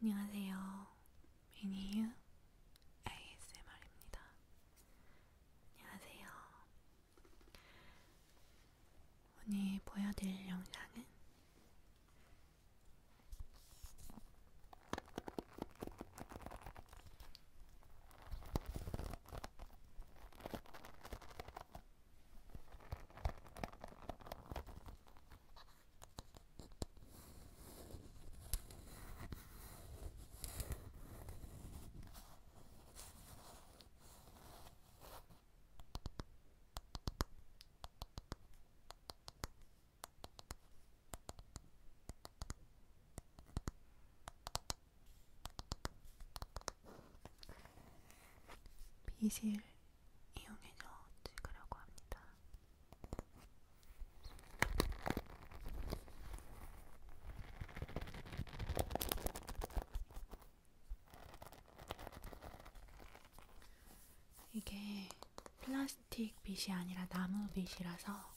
안녕하세요. 미니유 ASMR입니다. 안녕하세요. 오늘 보여드릴 영상은 비실 이용해서 찍으려고 합니다. 이게 플라스틱 빗이 아니라 나무 빗이라서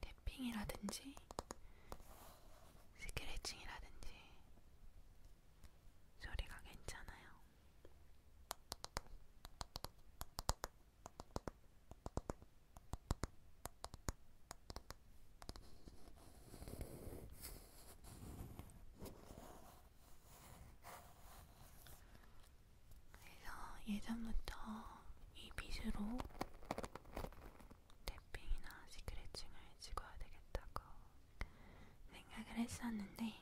탭핑이라든지 스크래칭이라든지 소리가 괜찮아요. 그래서 예전부터 이 빗으로 태핑이나 스크래칭을 찍어야 되겠다고 생각을 했었는데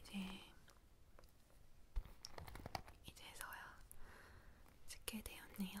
이제 이제서야 찍게 되었네요.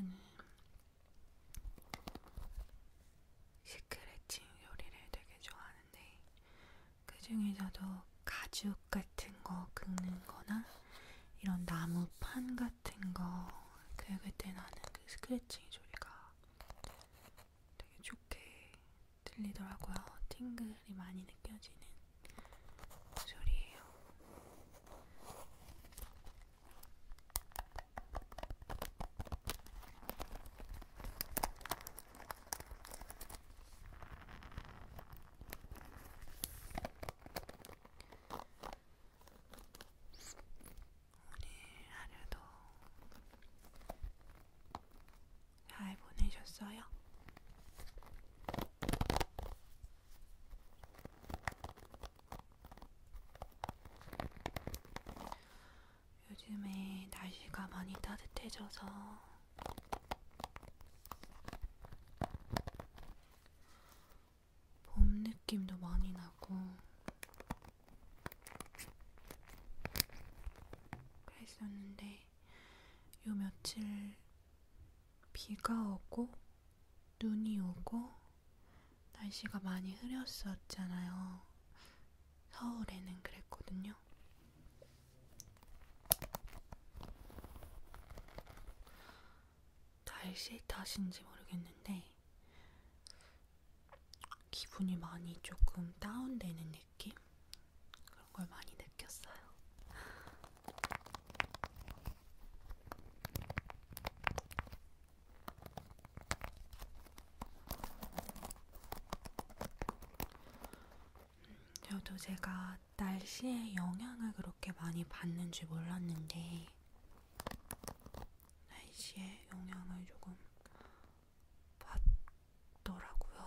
저는 스크래칭 요리를 되게 좋아하는데 그 중에서도 가죽 같은 같은 거 긁는 거나 이런 나무판 같은 거 긁을 때 나는 그 스크래칭 소리가 되게 좋게 들리더라고요. 팅글이 많이 느껴지는 소리예요. 오늘 하루도 잘 보내셨어요? 요즘에 날씨가 많이 따뜻해져서 봄 느낌도 많이 나고 그랬었는데 요 며칠 비가 오고 눈이 오고 날씨가 많이 흐렸었잖아요. 서울에는 그랬거든요. 날씨 탓인지 모르겠는데 기분이 많이 조금 다운되는 느낌? 그런 걸 많이 느꼈어요. 저도 제가 날씨의 영향을 그렇게 많이 받는 줄 몰랐는데 날씨의 영향을 조금 받더라고요.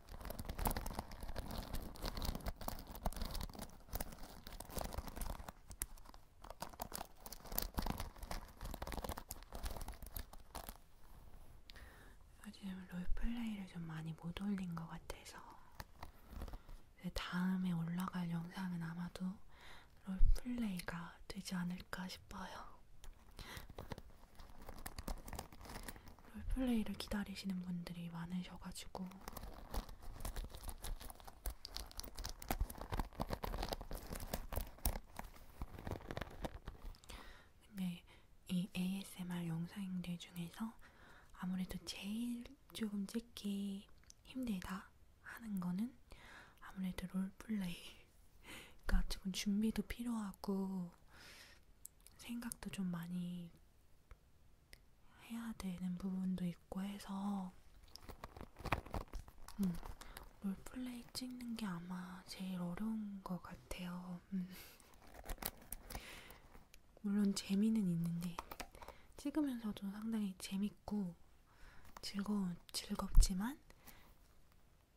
요즘 롤플레이를 좀 많이 못 올린 것 같아서 다음에 올라갈 영상은 아마도 롤플레이가 되지 않을까 싶어요. 롤플레이를 기다리시는 분들이 많으셔가지고 근데 이 ASMR 영상들 중에서 아무래도 제일 조금 찍기 힘들다 하는 거는 아무래도 롤플레이 그러니까 조금 준비도 필요하고 생각도 좀 많이 해야 되는 부분도 있고 해서 음, 롤플레이 찍는 게 아마 제일 어려운 것 같아요. 음. 물론 재미는 있는데 찍으면서도 상당히 재밌고 즐거운, 즐겁지만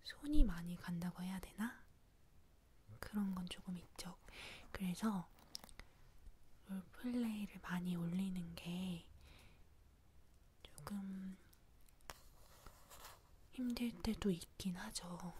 손이 많이 간다고 해야 되나? 그런 건 조금 있죠. 그래서 롤플레이를 많이 올리는 게 조금 힘들 때도 있긴 하죠.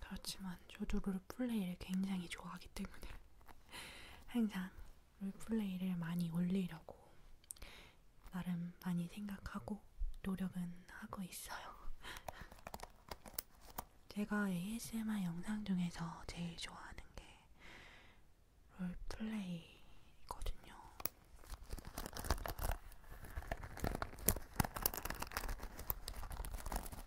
그렇지만 저도 롤 롤플레이를 굉장히 좋아하기 때문에 항상 롤플레이를 많이 올리려고 나름 많이 생각하고 노력은 하고 있어요. 제가 ASMR 영상 중에서 제일 좋아하는 게 롤플레이거든요.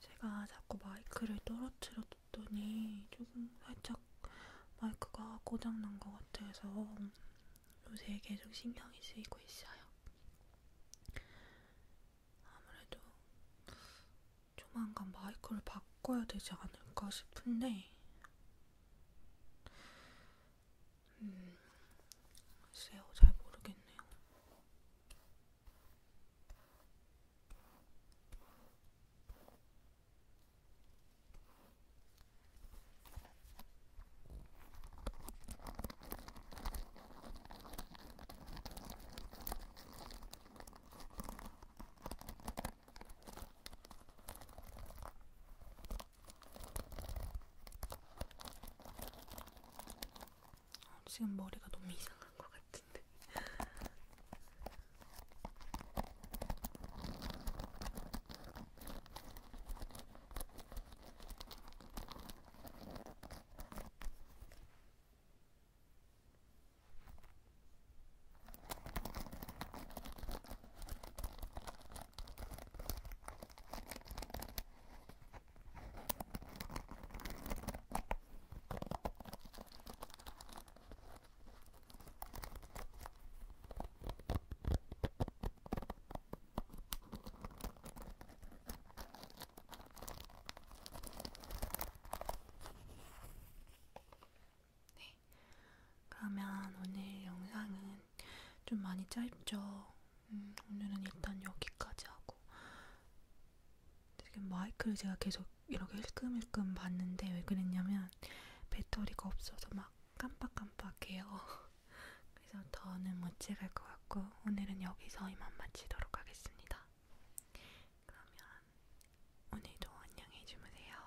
제가 자꾸 마이크를 떨어뜨렸더니 조금 살짝 마이크가 고장난 것 같아서 요새 계속 신경이 쓰이고 있어요. 아무래도 조만간 마이크를 바꿔야 되지 않을까 싶은데 음, 글쎄요, 잘 모르겠네요. 어, 지금 머리가 너무 이상한 것 같은데. 네. 그러면 오늘 영상은 좀 많이 짧죠? 음, 오늘은 일단 여기까지 하고 지금 마이크를 제가 계속 이렇게 힐끔힐끔 봤는데 왜 그랬냐면 배터리가 없어서 막 깜빡깜빡해요. 그래서 더는 못 찍을 것 같고 오늘은 여기서 이만 마치도록 하겠습니다. 그러면 오늘도 안녕히 주무세요.